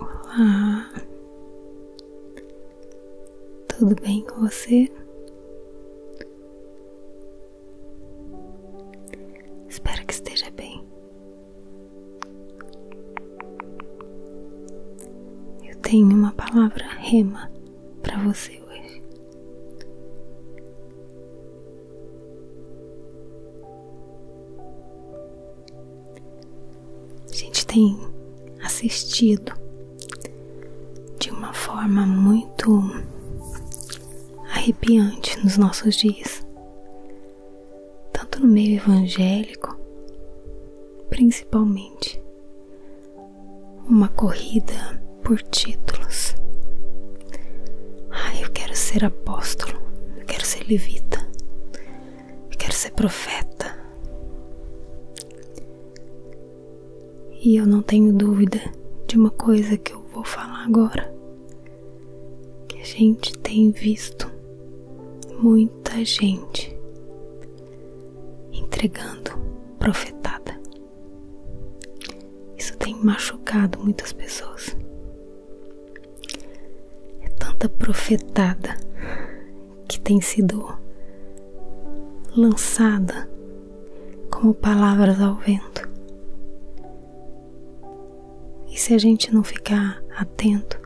Olá, tudo bem com você? Espero que esteja bem. Eu tenho uma palavra rema para você hoje. A gente tem assistido de uma forma muito arrepiante nos nossos dias tanto no meio evangélico, principalmente, uma corrida por títulos. Ah, eu quero ser apóstolo, eu quero ser levita, eu quero ser profeta. E eu não tenho dúvida de uma coisa que eu vou falar agora, que a gente tem visto muita gente entregando profetada. Isso tem machucado muitas pessoas. É tanta profetada que tem sido lançada como palavras ao vento. E se a gente não ficar atento,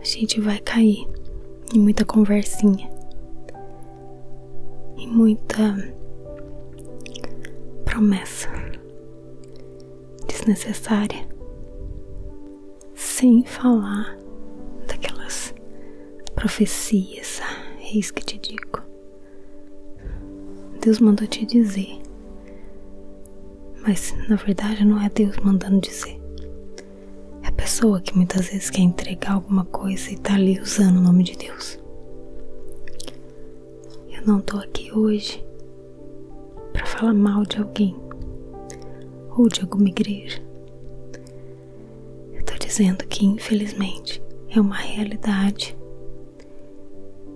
a gente vai cair em muita conversinha, em muita promessa desnecessária, sem falar daquelas profecias, eis é que te digo. Deus mandou te dizer mas na verdade não é Deus mandando dizer. É a pessoa que muitas vezes quer entregar alguma coisa e tá ali usando o nome de Deus. Eu não tô aqui hoje para falar mal de alguém ou de alguma igreja. Eu tô dizendo que infelizmente é uma realidade.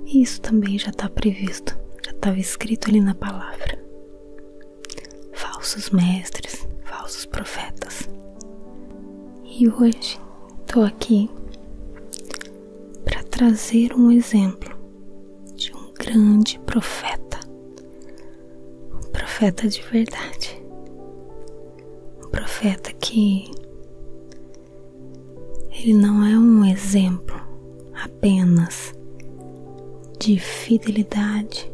E isso também já está previsto, já estava escrito ali na palavra falsos mestres, falsos profetas. E hoje estou aqui para trazer um exemplo de um grande profeta, um profeta de verdade, um profeta que ele não é um exemplo apenas de fidelidade,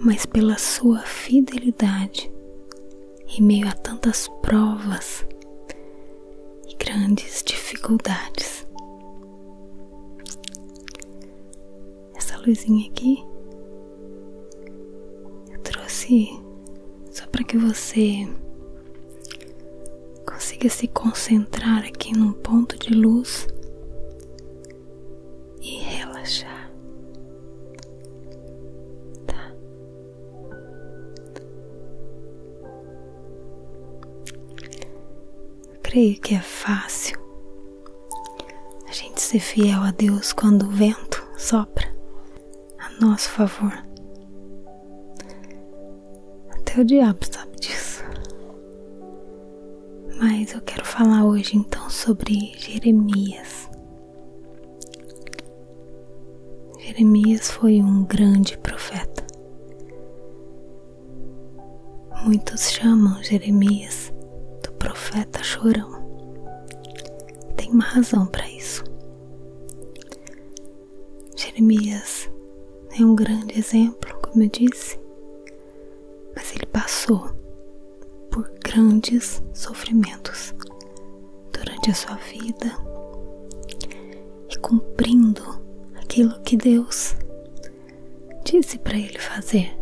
mas pela sua fidelidade em meio a tantas provas e grandes dificuldades. Essa luzinha aqui eu trouxe só para que você Consiga se concentrar aqui num ponto de luz e relaxar. Tá. Eu creio que é fácil a gente ser fiel a Deus quando o vento sopra a nosso favor. Até o diabo sabe disso. Mas eu quero falar hoje então sobre Jeremias. Jeremias foi um grande profeta. Muitos chamam Jeremias do profeta chorão. Tem uma razão para isso. Jeremias é um grande exemplo, como eu disse, mas ele passou por grandes sofrimentos durante a sua vida e cumprindo aquilo que Deus disse para ele fazer.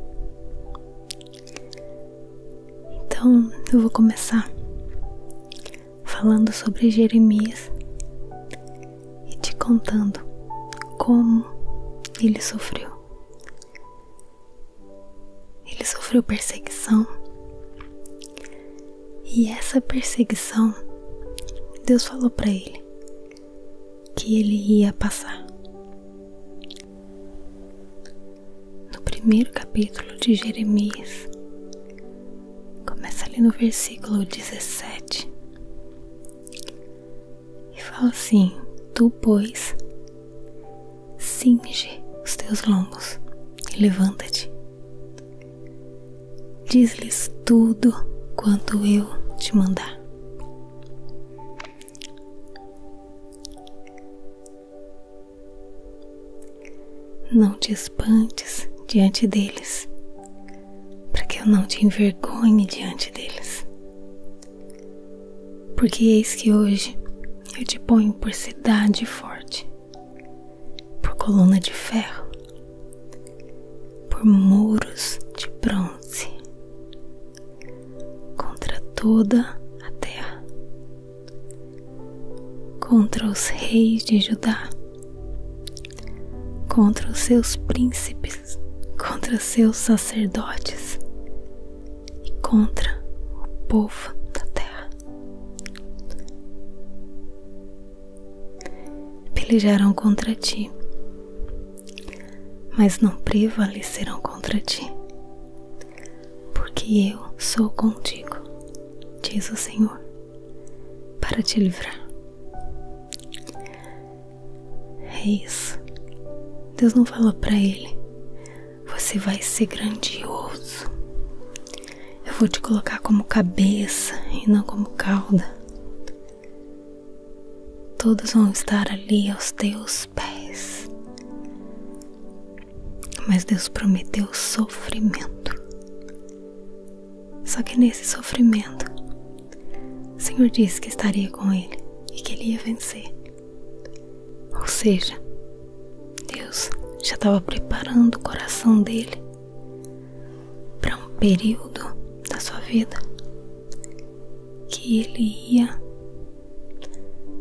Então eu vou começar falando sobre Jeremias e te contando como ele sofreu. Ele sofreu perseguição. E essa perseguição, Deus falou para ele que ele ia passar. No primeiro capítulo de Jeremias, Começa ali no versículo 17 e fala assim: Tu, pois, cinge os teus lombos e levanta-te. Diz-lhes tudo quanto eu te mandar. Não te espantes diante deles, para que eu não te envergonhe diante deles. Porque eis que hoje eu te ponho por cidade forte, por coluna de ferro, por muros de bronze, contra toda a terra, contra os reis de Judá contra os seus príncipes, contra seus sacerdotes e contra o povo da terra. Pelejarão contra ti, mas não prevalecerão contra ti, porque eu sou contigo, diz o Senhor para te livrar. É isso. Deus não fala para ele: você vai ser grandioso. Eu vou te colocar como cabeça e não como cauda. Todos vão estar ali aos teus pés. Mas Deus prometeu sofrimento. Só que nesse sofrimento, o Senhor disse que estaria com ele e que ele ia vencer. Ou seja, Deus já estava preparando o coração dele para um período da sua vida que ele ia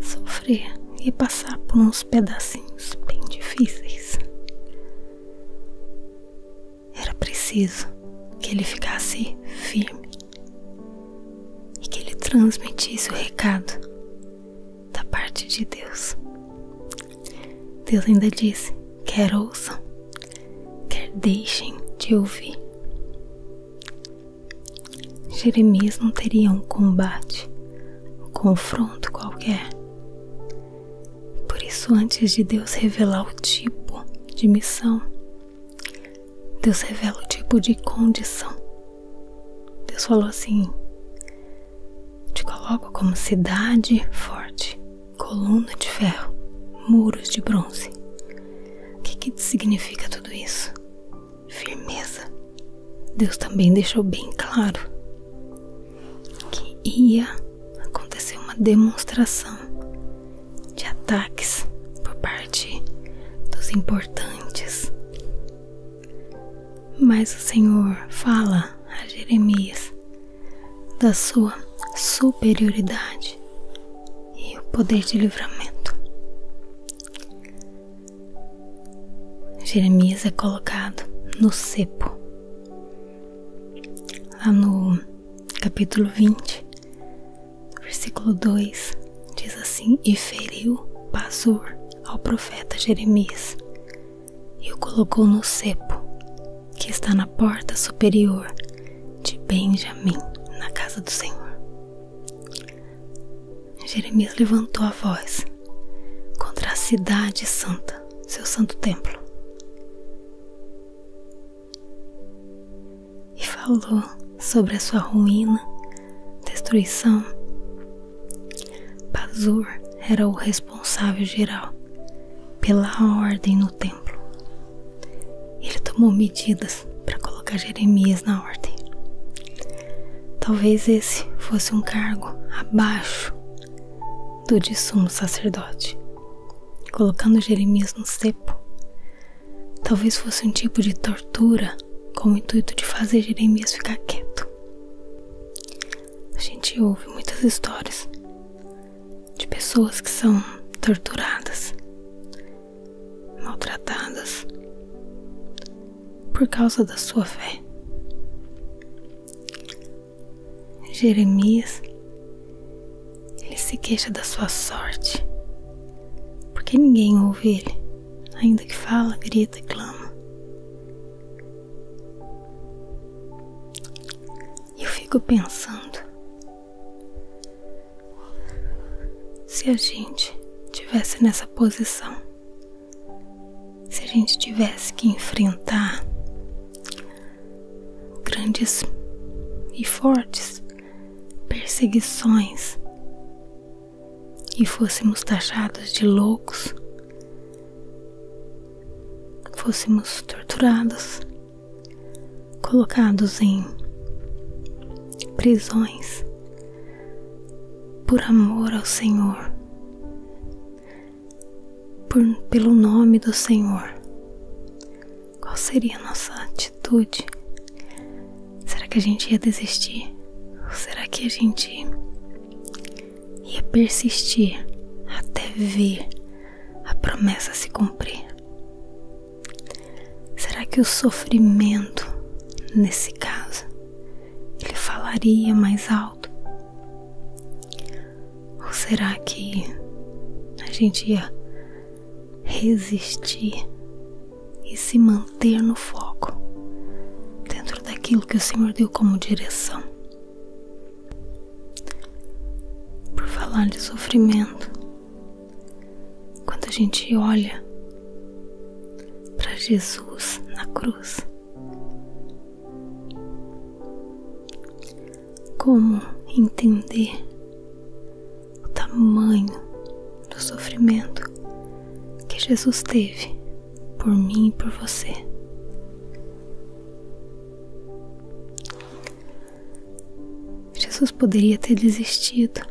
sofrer e passar por uns pedacinhos bem difíceis. Era preciso que ele ficasse firme e que ele transmitisse o recado da parte de Deus. Deus ainda disse: quer ouçam, quer deixem de ouvir. Jeremias não teria um combate, um confronto qualquer. Por isso, antes de Deus revelar o tipo de missão, Deus revela o tipo de condição. Deus falou assim: Te coloco como cidade forte, coluna de ferro, muros de bronze. O que, significa tudo isso? Firmeza. Deus também deixou bem claro que ia aconteceu uma demonstração de ataques por parte dos importantes. Mas o Senhor fala a Jeremias da sua superioridade e o poder de livramento. Jeremias é colocado no cepo, lá no capítulo 20, versículo 2, diz assim: E feriu Pazur ao profeta Jeremias e o colocou no cepo que está na porta superior de Benjamim, na casa do Senhor. Jeremias levantou a voz contra a cidade santa, seu santo templo e falou sobre a sua ruína, destruição. Pazur era o responsável geral pela ordem no templo. Ele tomou medidas para colocar Jeremias na ordem. Talvez esse fosse um cargo abaixo do de sumo sacerdote colocando Jeremias no cepo. Talvez fosse um tipo de tortura com o intuito de fazer Jeremias ficar quieto. A gente ouve muitas histórias de pessoas que são torturadas, maltratadas por causa da sua fé. Jeremias, ele se queixa da sua sorte, porque ninguém ouve ele, ainda que fala, grita e clama. Eu fico pensando, se a gente tivesse nessa posição, se a gente tivesse que enfrentar grandes e fortes perseguições e fôssemos taxados de loucos, fôssemos torturados, colocados em prisões por amor ao Senhor, pelo nome do Senhor, qual seria a nossa atitude? Será que a gente ia desistir? Ou será que a gente ia persistir até ver a promessa se cumprir? Será que o sofrimento, nesse caso, ele falaria mais alto? Ou será que a gente ia resistir e se manter no foco dentro daquilo que o Senhor deu como direção? Por falar de sofrimento, quando a gente olha para Jesus na cruz, como entender o tamanho do sofrimento que Jesus teve por mim e por você. Jesus poderia ter desistido,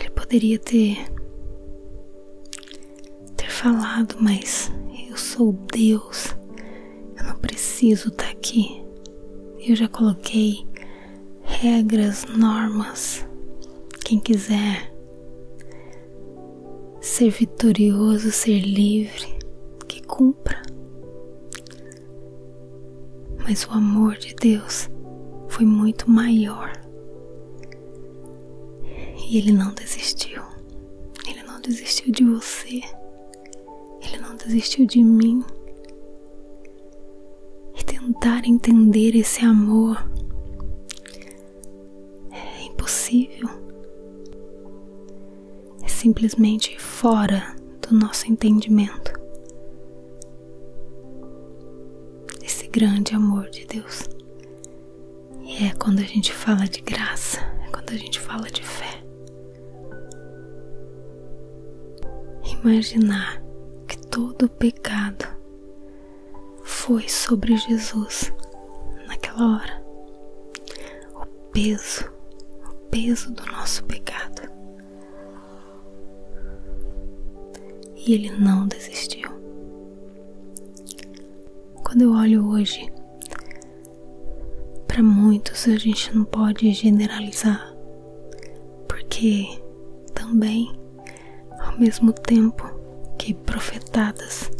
ele poderia ter, ter falado, mas eu sou Deus, eu não preciso estar tá aqui. Eu já coloquei regras, normas. Quem quiser ser vitorioso, ser livre, que cumpra. Mas o amor de Deus foi muito maior. E ele não desistiu. Ele não desistiu de você. Ele não desistiu de mim. E tentar entender esse amor é impossível. É simplesmente fora do nosso entendimento. Esse grande amor de Deus. E é quando a gente fala de graça, é quando a gente fala de fé, Imaginar que todo o pecado foi sobre Jesus naquela hora. O peso, o peso do nosso pecado. E ele não desistiu. Quando eu olho hoje para muitos a gente não pode generalizar, porque também, ao mesmo tempo que profetadas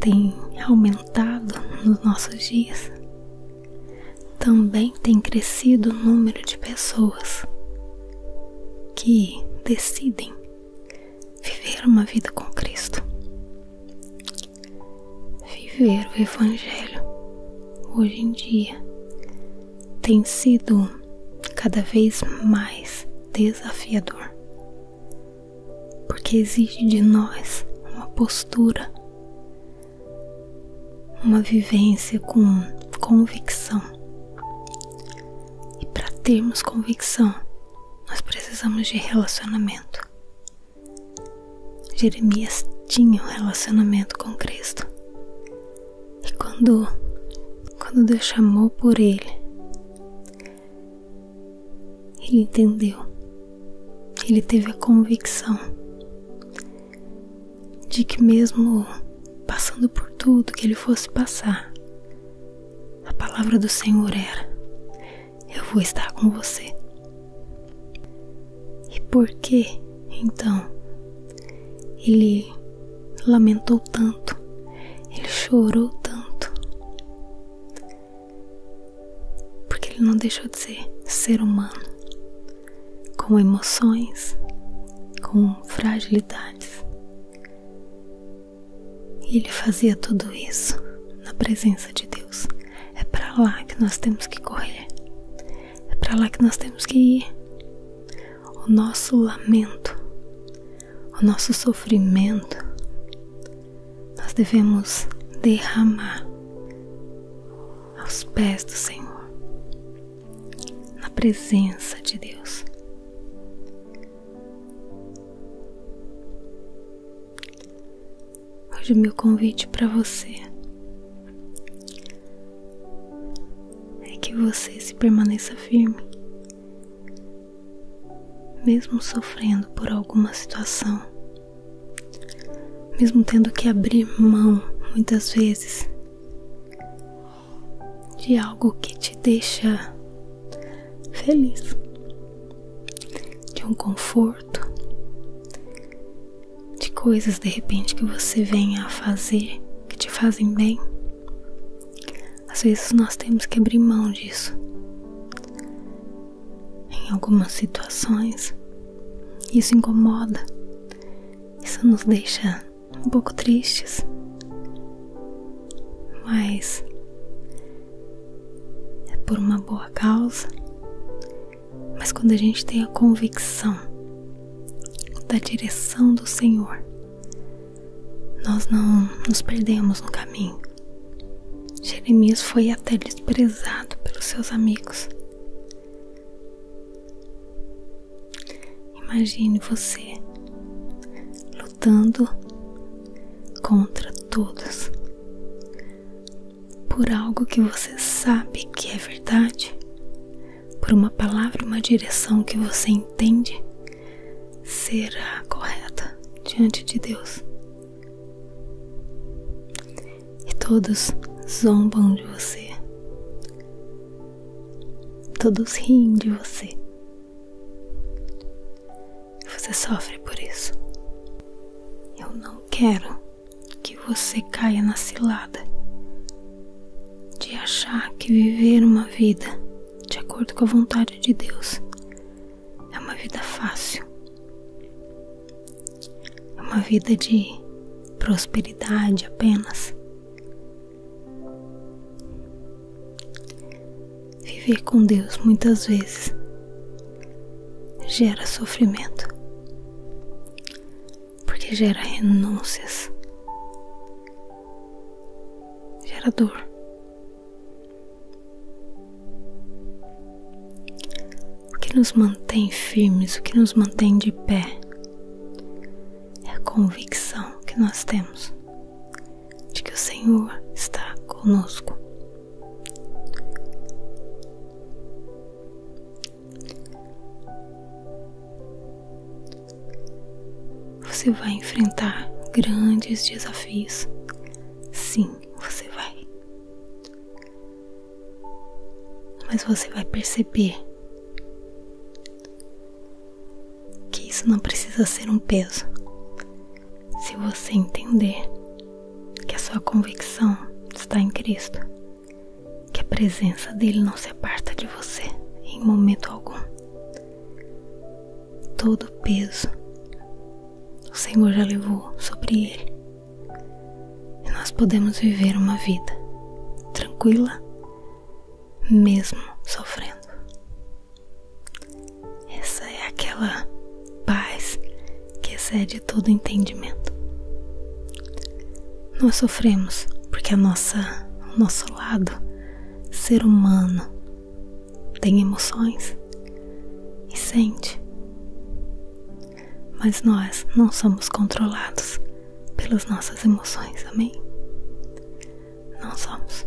têm aumentado nos nossos dias, também tem crescido o número de pessoas que decidem viver uma vida com Cristo. Viver o Evangelho hoje em dia tem sido cada vez mais desafiador, porque exige de nós uma postura, uma vivência com convicção. E para termos convicção, nós precisamos de relacionamento. Jeremias tinha um relacionamento com Cristo. E quando, quando Deus chamou por ele, ele entendeu, ele teve a convicção de que, mesmo passando por tudo que ele fosse passar, a palavra do Senhor era: eu vou estar com você. E por que, então, ele lamentou tanto, ele chorou tanto? Porque ele não deixou de ser ser humano, com emoções, com fragilidades. E ele fazia tudo isso na presença de Deus. É para lá que nós temos que correr. É para lá que nós temos que ir. O nosso lamento, o nosso sofrimento, nós devemos derramar aos pés do Senhor, na presença de Deus. Hoje o meu convite para você é que você se permaneça firme, mesmo sofrendo por alguma situação, mesmo tendo que abrir mão muitas vezes de algo que te deixa feliz de um conforto, de coisas de repente que você vem a fazer que te fazem bem. Às vezes nós temos que abrir mão disso. Em algumas situações, isso incomoda, isso nos deixa um pouco tristes, mas é por uma boa causa mas quando a gente tem a convicção da direção do Senhor, nós não nos perdemos no caminho. Jeremias foi até desprezado pelos seus amigos. Imagine você lutando contra todos, por algo que você sabe que é verdade, por uma palavra, uma direção que você entende será correta diante de Deus. E todos zombam de você, todos riem de você. Você sofre por isso. Eu não quero que você caia na cilada de achar que viver uma vida de acordo com a vontade de Deus é uma vida fácil, é uma vida de prosperidade apenas. Viver com Deus muitas vezes gera sofrimento, porque gera renúncias, gera dor. O que nos mantém firmes, o que nos mantém de pé é a convicção que nós temos de que o Senhor está conosco você vai enfrentar grandes desafios. Sim, você vai. Mas você vai perceber que isso não precisa ser um peso. Se você entender que a sua convicção está em Cristo, que a presença dele não se aparta de você em momento algum. Todo peso o Senhor já levou sobre ele. E nós podemos viver uma vida tranquila, mesmo sofrendo. Essa é aquela paz que excede todo entendimento. Nós sofremos porque a nossa, o nosso lado ser humano tem emoções e sente. Mas nós não somos controlados pelas nossas emoções, amém? Não somos.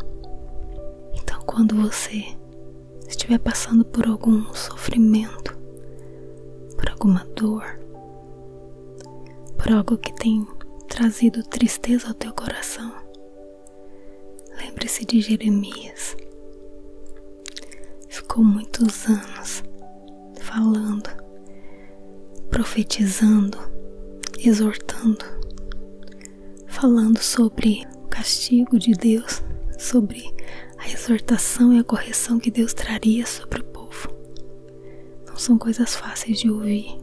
Então, quando você se estiver passando por algum sofrimento, por alguma dor, por algo que tem trazido tristeza ao teu coração, lembre-se de Jeremias. Ficou muitos anos falando, profetizando, exortando, falando sobre o castigo de Deus, sobre a exortação e a correção que Deus traria sobre o povo. Não são coisas fáceis de ouvir.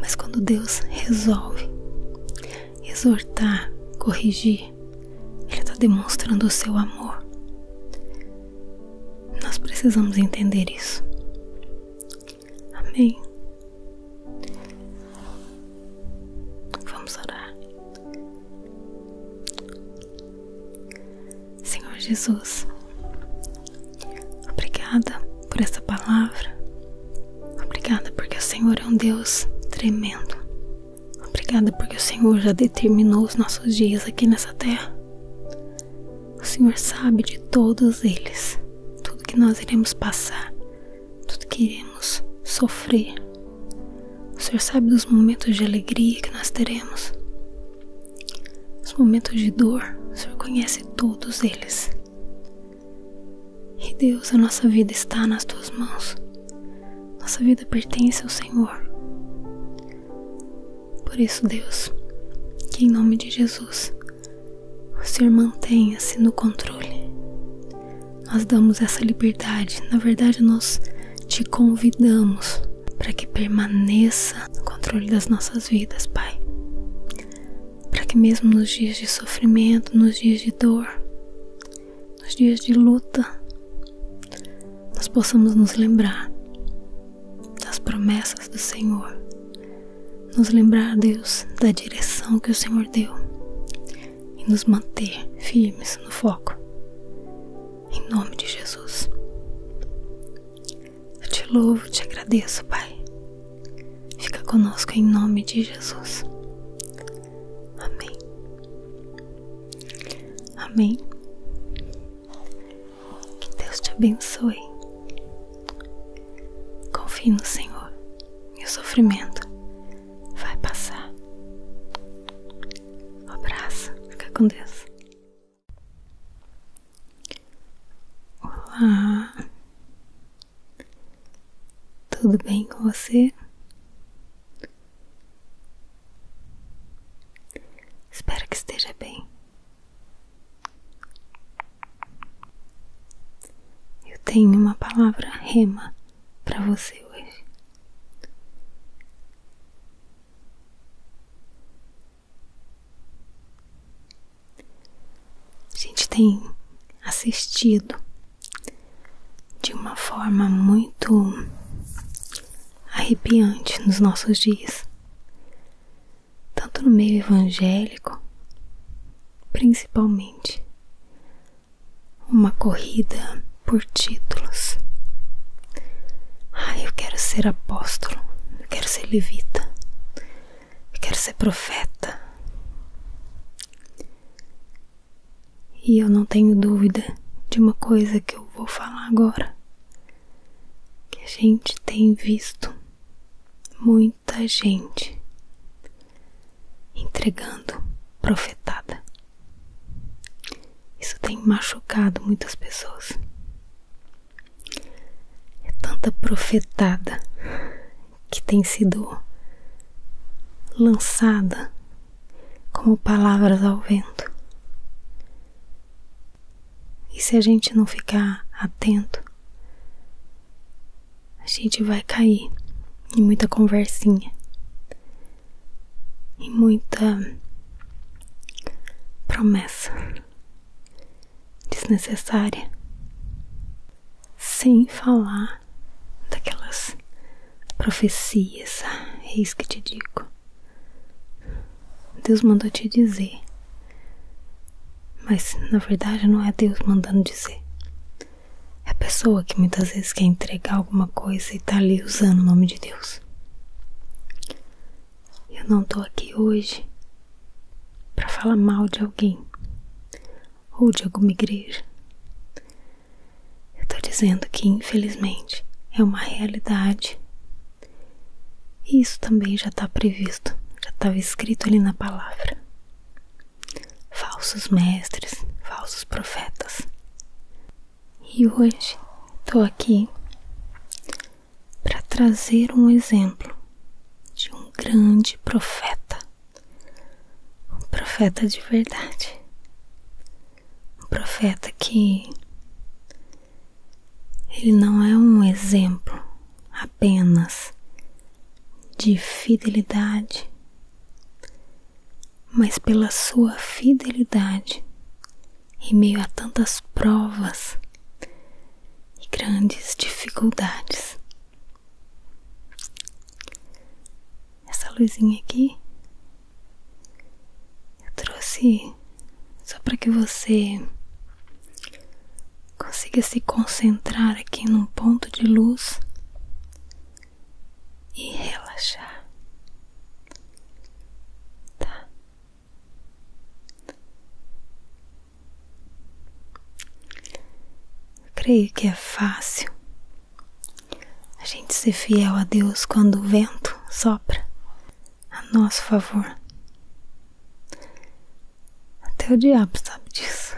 Mas quando Deus resolve exortar, corrigir, Ele está demonstrando o seu amor. Nós precisamos entender isso. Amém. Vamos orar. Senhor Jesus, obrigada por essa palavra, obrigada porque o Senhor é um Deus tremendo, obrigada porque o Senhor já determinou os nossos dias aqui nessa terra. O Senhor sabe de todos eles, tudo que nós iremos passar, tudo que iremos sofrer, o Senhor sabe dos momentos de alegria que nós teremos, os momentos de dor, o Senhor conhece todos eles. E Deus, a nossa vida está nas tuas mãos, nossa vida pertence ao Senhor. Por isso, Deus, que em nome de Jesus, o Senhor mantenha-se no controle nós damos essa liberdade, na verdade, nós te convidamos para que permaneça no controle das nossas vidas, Pai. Para que, mesmo nos dias de sofrimento, nos dias de dor, nos dias de luta, nós possamos nos lembrar das promessas do Senhor, nos lembrar, Deus, da direção que o Senhor deu e nos manter firmes no foco. Em nome de Jesus. Eu te louvo, te agradeço, Pai. Fica conosco em nome de Jesus. Amém. Amém. Que Deus te abençoe. Confie no Senhor e sofrimento vai passar. Um abraço, fica com Deus. Olá, tudo bem com você? Espero que esteja bem. Eu tenho uma palavra rema para você hoje. A gente tem assistido de uma forma muito arrepiante nos nossos dias, tanto no meio evangélico, principalmente, uma corrida por títulos. Ah, eu quero ser apóstolo, eu quero ser levita, eu quero ser profeta. E eu não tenho dúvida de uma coisa que eu vou falar agora. Que a gente tem visto muita gente entregando profetada. Isso tem machucado muitas pessoas. É tanta profetada que tem sido lançada como palavras ao vento. E se a gente não ficar atento, a gente vai cair em muita conversinha, e muita promessa desnecessária, sem falar daquelas profecias, ah, eis que te digo. Deus mandou te dizer, mas na verdade não é Deus mandando dizer, é a pessoa que muitas vezes quer entregar alguma coisa e tá ali usando o nome de Deus. Eu não tô aqui hoje para falar mal de alguém ou de alguma igreja. Eu tô dizendo que, infelizmente, é uma realidade. E isso também já está previsto, já estava escrito ali na palavra. Falsos mestres, falsos profetas. E hoje estou aqui para trazer um exemplo de um grande profeta, um profeta de verdade, um profeta que ele não é um exemplo apenas de fidelidade, mas pela sua fidelidade em meio a tantas provas e grandes dificuldades. Essa luzinha aqui eu trouxe só para que você consiga se concentrar aqui num ponto de luz e relaxar, tá? Eu creio que é fácil a gente ser fiel a Deus quando o vento sopra a nosso favor. Até o diabo sabe disso.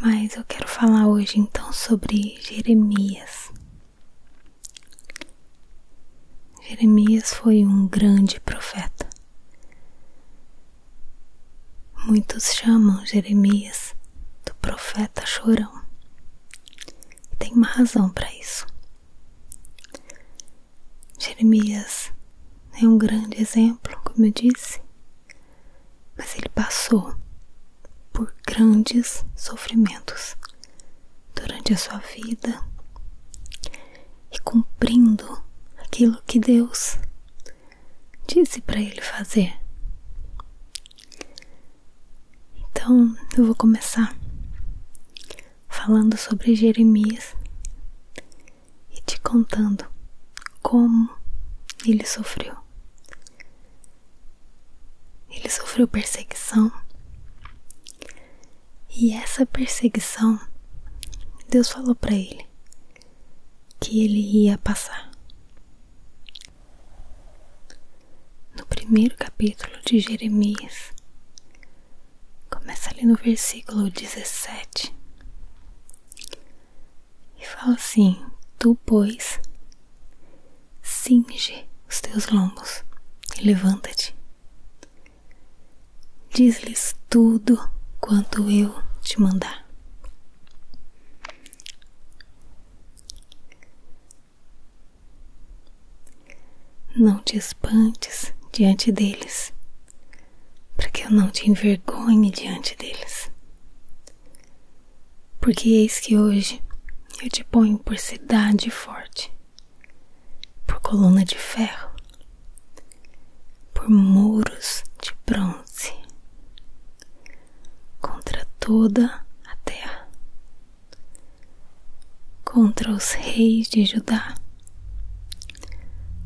Mas eu quero falar hoje então sobre Jeremias. Jeremias foi um grande profeta. Muitos chamam Jeremias do profeta chorão. E tem uma razão para isso. Jeremias é um grande exemplo, como eu disse, mas ele passou por grandes sofrimentos durante a sua vida e cumprindo aquilo que Deus disse para ele fazer. Então eu vou começar falando sobre Jeremias e te contando como ele sofreu. Ele sofreu perseguição. E essa perseguição, Deus falou para ele que ele ia passar. No primeiro capítulo de Jeremias, começa ali no versículo 17 e fala assim: Tu, pois, cinge os teus lombos e levanta-te. Diz-lhes tudo quanto eu te mandar. Não te espantes diante deles, para que eu não te envergonhe diante deles porque eis que hoje eu te ponho por cidade forte, por coluna de ferro, por muros de bronze, contra toda a terra, contra os reis de Judá,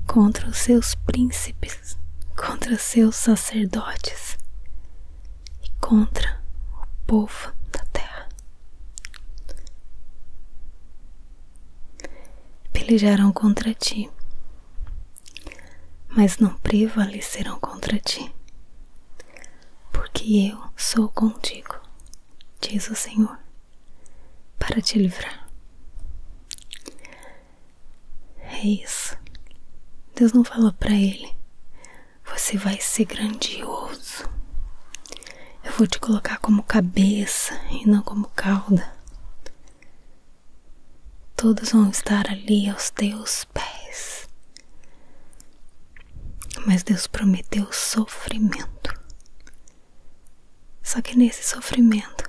contra os seus príncipes, contra os seus sacerdotes, e contra o povo da terra. Pelejarão contra ti, mas não prevalecerão contra ti, porque eu sou contigo, diz o Senhor, para te livrar. É isso. Deus não falou para ele: você vai ser grandioso. Eu vou te colocar como cabeça e não como cauda. Todos vão estar ali aos teus pés. Mas Deus prometeu sofrimento. Só que nesse sofrimento,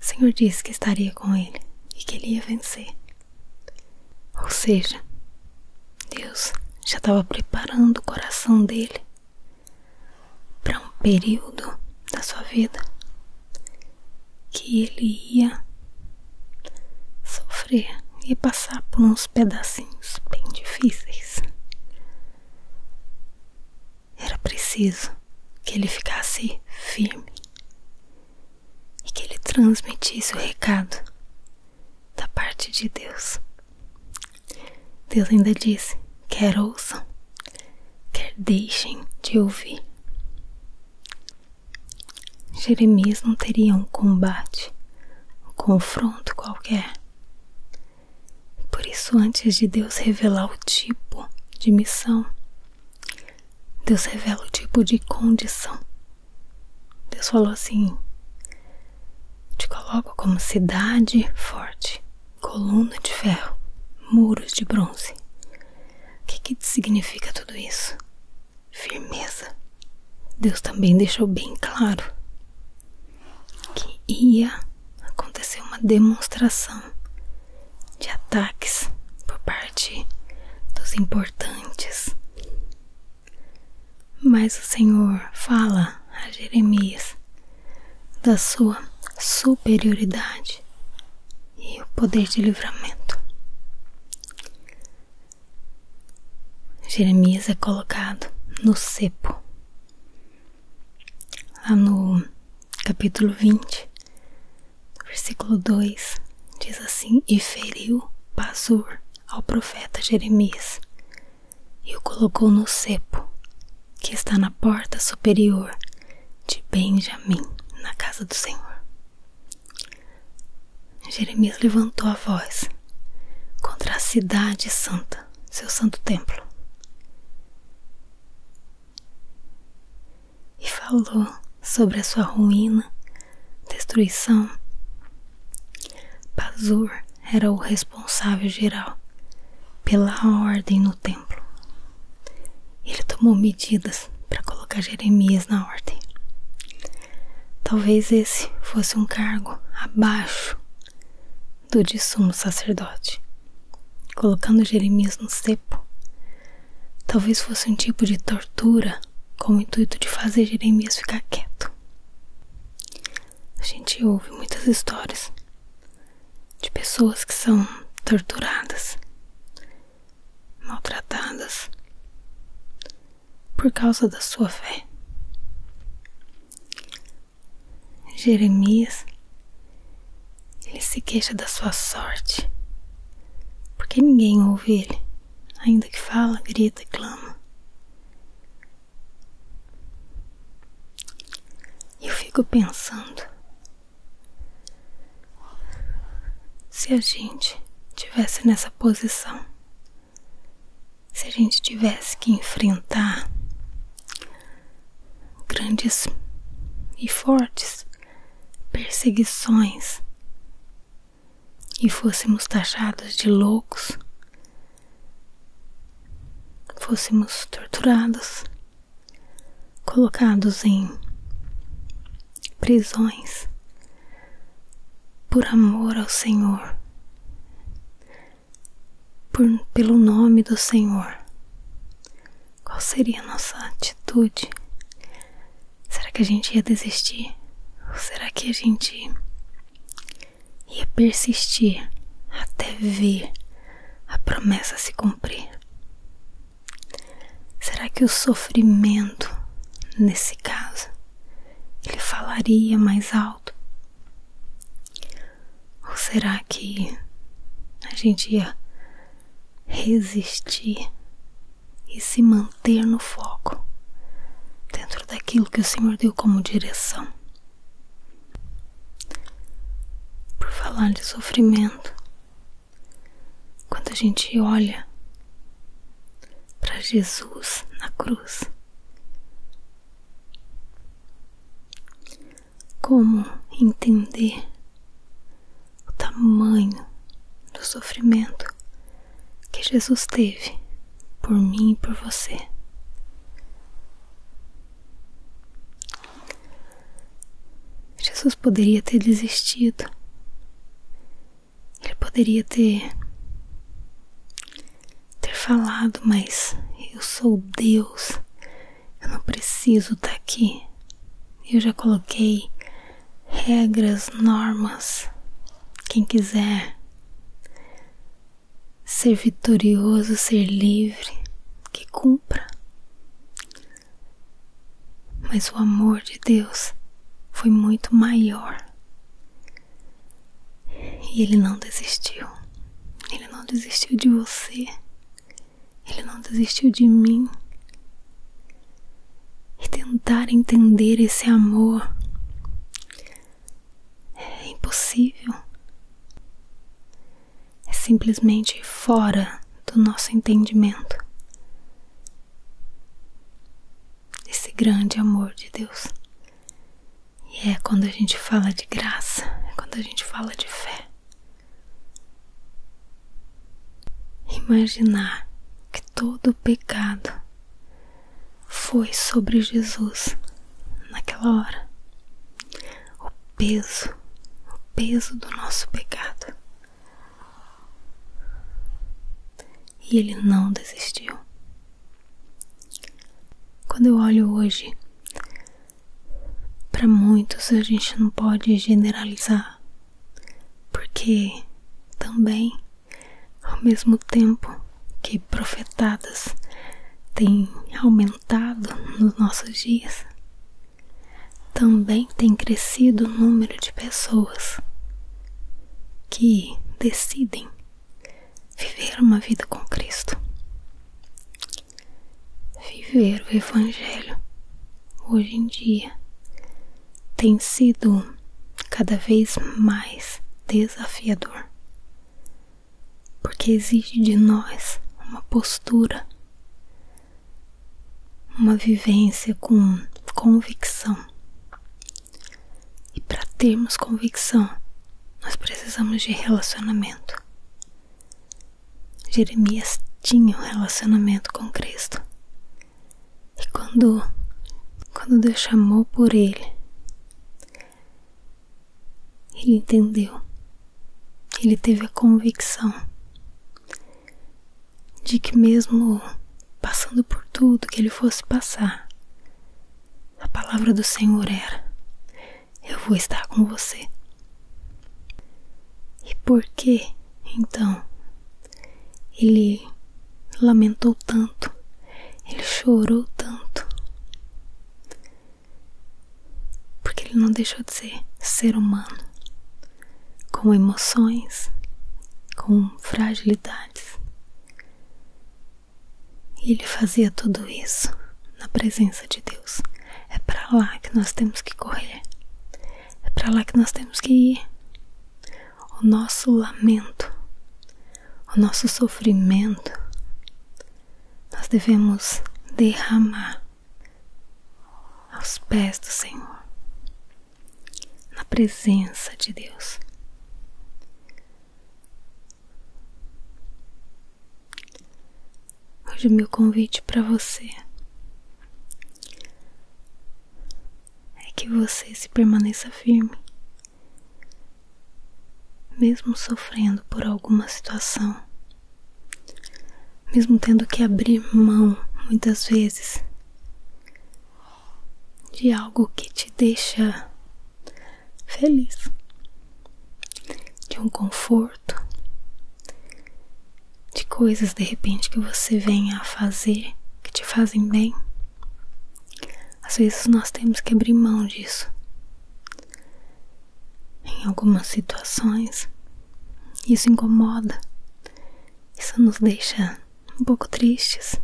o Senhor disse que estaria com ele e que ele ia vencer. Ou seja, Deus já estava preparando o coração dele para um período da sua vida que ele ia sofrer e passar por uns pedacinhos bem difíceis. Era preciso que ele ficasse firme e que ele transmitisse o recado da parte de Deus. Deus ainda disse: quer ouçam, quer deixem de ouvir. Jeremias não teria um combate, um confronto qualquer. Por isso, antes de Deus revelar o tipo de missão Deus revela o tipo de condição. Deus falou assim: te coloco como cidade forte, coluna de ferro, muros de bronze. O que, que significa tudo isso? Firmeza. Deus também deixou bem claro que ia acontecer uma demonstração de ataques por parte dos importantes mas o Senhor fala a Jeremias da sua superioridade e o poder de livramento. Jeremias é colocado no cepo. Lá no capítulo 20, versículo 2 diz assim: E feriu Pazur ao profeta Jeremias e o colocou no cepo que está na porta superior de Benjamim, na casa do Senhor. Jeremias levantou a voz contra a cidade santa, seu santo templo e falou sobre a sua ruína, destruição. Pazur era o responsável geral pela ordem no templo. Ele tomou medidas para colocar Jeremias na ordem. Talvez esse fosse um cargo abaixo do de sumo sacerdote, colocando Jeremias no cepo Talvez fosse um tipo de tortura com o intuito de fazer Jeremias ficar quieto. A gente ouve muitas histórias de pessoas que são torturadas, maltratadas por causa da sua fé. Jeremias ele se queixa da sua sorte, porque ninguém ouve ele ainda que fala, grita, clama. Eu fico pensando se a gente tivesse nessa posição, se a gente tivesse que enfrentar grandes e fortes perseguições e fôssemos taxados de loucos, fôssemos torturados, colocados em prisões por amor ao Senhor, pelo nome do Senhor. Qual seria a nossa atitude Será que a gente ia desistir? Ou será que a gente ia persistir até ver a promessa se cumprir? Será que o sofrimento, nesse caso, ele falaria mais alto? Ou será que a gente ia resistir e se manter no foco, dentro daquilo que o Senhor deu como direção. Por falar de sofrimento, quando a gente olha para Jesus na cruz, como entender o tamanho do sofrimento que Jesus teve por mim e por você. Jesus poderia ter desistido. Ele poderia ter ter falado, mas eu sou Deus. Eu não preciso estar aqui. Eu já coloquei regras, normas. Quem quiser ser vitorioso, ser livre, que cumpra. Mas o amor de Deus foi muito maior. E ele não desistiu. Ele não desistiu de você. Ele não desistiu de mim e tentar entender esse amor é impossível. É simplesmente fora do nosso entendimento. Esse grande amor de Deus. E é quando a gente fala de graça, é quando a gente fala de fé imaginar que todo o pecado foi sobre Jesus naquela hora. O peso, o peso do nosso pecado. E ele não desistiu. Quando eu olho hoje, para muitos a gente não pode generalizar, porque também ao mesmo tempo que profetadas têm aumentado nos nossos dias, também tem crescido o número de pessoas que decidem viver uma vida com Cristo, viver o Evangelho hoje em dia tem sido cada vez mais desafiador, porque exige de nós uma postura, uma vivência com convicção. E para termos convicção, nós precisamos de relacionamento. Jeremias tinha um relacionamento com Cristo e quando, quando Deus chamou por ele, ele entendeu, ele teve a convicção de que, mesmo passando por tudo que ele fosse passar, a palavra do Senhor era: Eu vou estar com você. E por que, então, ele lamentou tanto, ele chorou tanto, porque ele não deixou de ser ser humano, com emoções, com fragilidades. E ele fazia tudo isso na presença de Deus. É para lá que nós temos que correr. É para lá que nós temos que ir o nosso lamento, o nosso sofrimento, nós devemos derramar aos pés do Senhor, na presença de Deus. Hoje meu convite para você é que você se permaneça firme, mesmo sofrendo por alguma situação, mesmo tendo que abrir mão muitas vezes de algo que te deixa feliz, de um conforto, de coisas de repente que você venha a fazer que te fazem bem. Às vezes nós temos que abrir mão disso. Em algumas situações, isso incomoda, isso nos deixa um pouco tristes,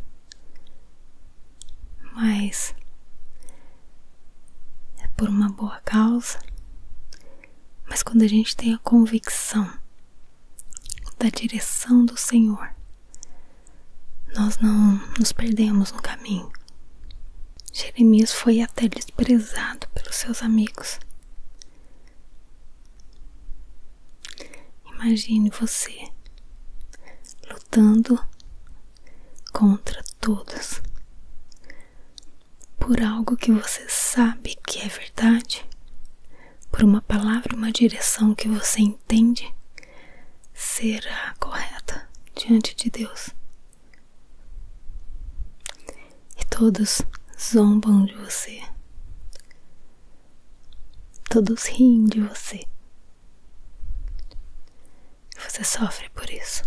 mas é por uma boa causa. Mas quando a gente tem a convicção da direção do Senhor, nós não nos perdemos no caminho. Jeremias foi até desprezado pelos seus amigos. Imagine você lutando contra todos por algo que você sabe que é verdade, por uma palavra, uma direção que você entende será correta diante de Deus. E todos zombam de você. Todos riem de você. Você sofre por isso.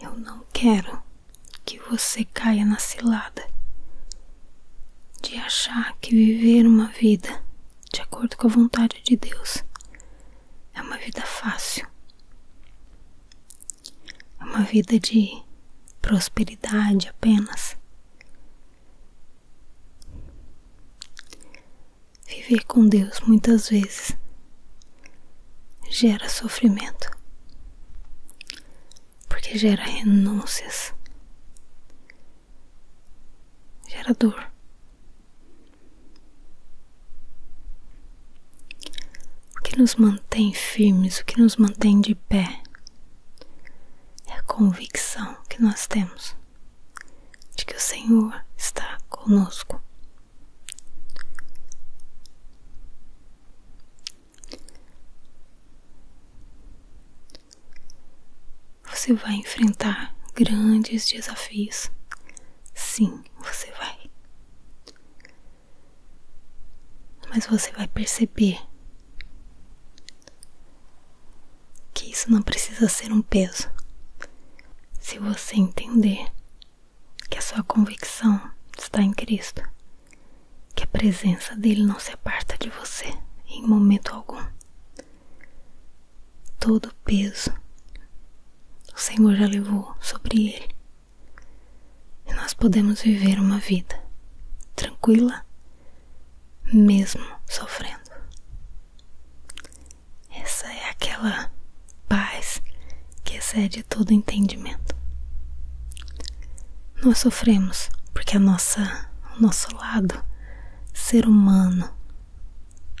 Eu não quero que você caia na cilada de achar que viver uma vida de acordo com a vontade de Deus é uma vida fácil, é uma vida de prosperidade apenas. Viver com Deus muitas vezes gera sofrimento, porque gera renúncias, gera dor. O que nos mantém firmes, o que nos mantém de pé é a convicção que nós temos de que o Senhor está conosco. Você vai enfrentar grandes desafios. Sim, você vai. Mas você vai perceber que isso não precisa ser um peso. Se você entender que a sua convicção está em Cristo, que a presença dele não se aparta de você em momento algum. Todo o peso o Senhor já levou sobre ele. E nós podemos viver uma vida tranquila, mesmo sofrendo. Essa é aquela paz que excede todo entendimento. Nós sofremos porque a nossa, o nosso lado ser humano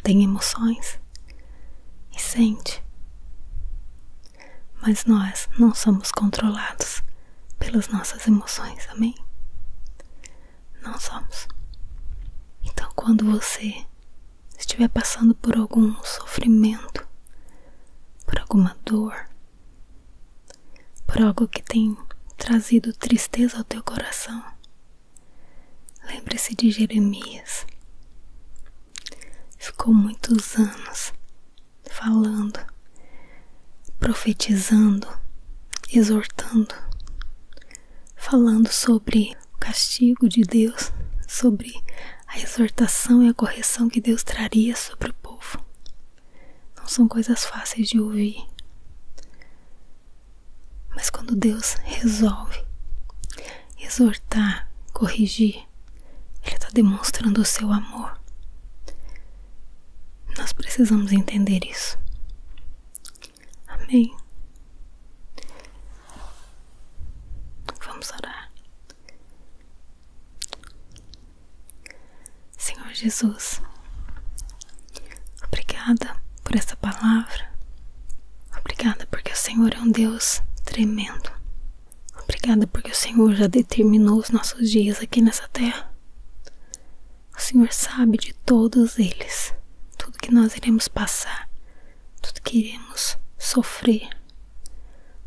tem emoções e sente. Mas nós não somos controlados pelas nossas emoções, amém? Não somos. Então, quando você estiver passando por algum sofrimento, por alguma dor, por algo que tem trazido tristeza ao teu coração. Lembre-se de Jeremias. Ficou muitos anos falando, profetizando, exortando, falando sobre o castigo de Deus, sobre a exortação e a correção que Deus traria sobre o povo não são coisas fáceis de ouvir. Mas quando Deus resolve exortar, corrigir, Ele está demonstrando o seu amor. Nós precisamos entender isso. Amém. Vamos orar. Senhor Jesus, obrigada por essa palavra. Obrigada porque o Senhor é um Deus tremendo. Obrigada porque o Senhor já determinou os nossos dias aqui nessa terra. O Senhor sabe de todos eles, tudo que nós iremos passar, tudo que iremos sofrer.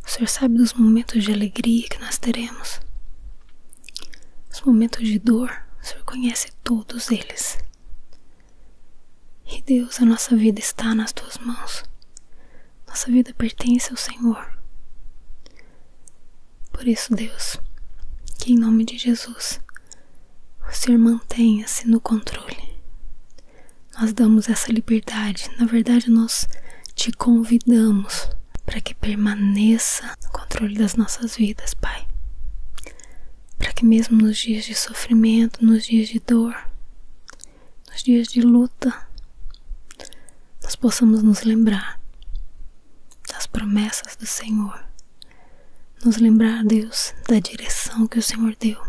O Senhor sabe dos momentos de alegria que nós teremos. Os momentos de dor, o Senhor conhece todos eles. E Deus, a nossa vida está nas tuas mãos. Nossa vida pertence ao Senhor. Por isso, Deus, que em nome de Jesus, o Senhor mantenha-se no controle. Nós damos essa liberdade, na verdade, nós te convidamos para que permaneça no controle das nossas vidas, Pai. Para que, mesmo nos dias de sofrimento, nos dias de dor, nos dias de luta, nós possamos nos lembrar das promessas do Senhor, nos lembrar, Deus, da direção que o Senhor deu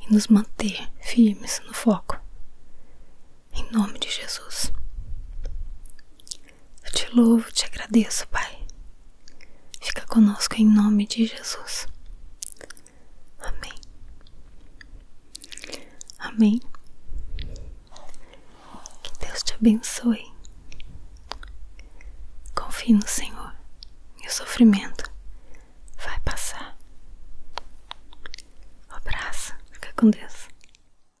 e nos manter firmes no foco. Em nome de Jesus. Eu te louvo, te agradeço, Pai. Fica conosco em nome de Jesus. Amém. Amém. Que Deus te abençoe. Confie no Senhor e o sofrimento vai passar. Um abraço. Fica com Deus.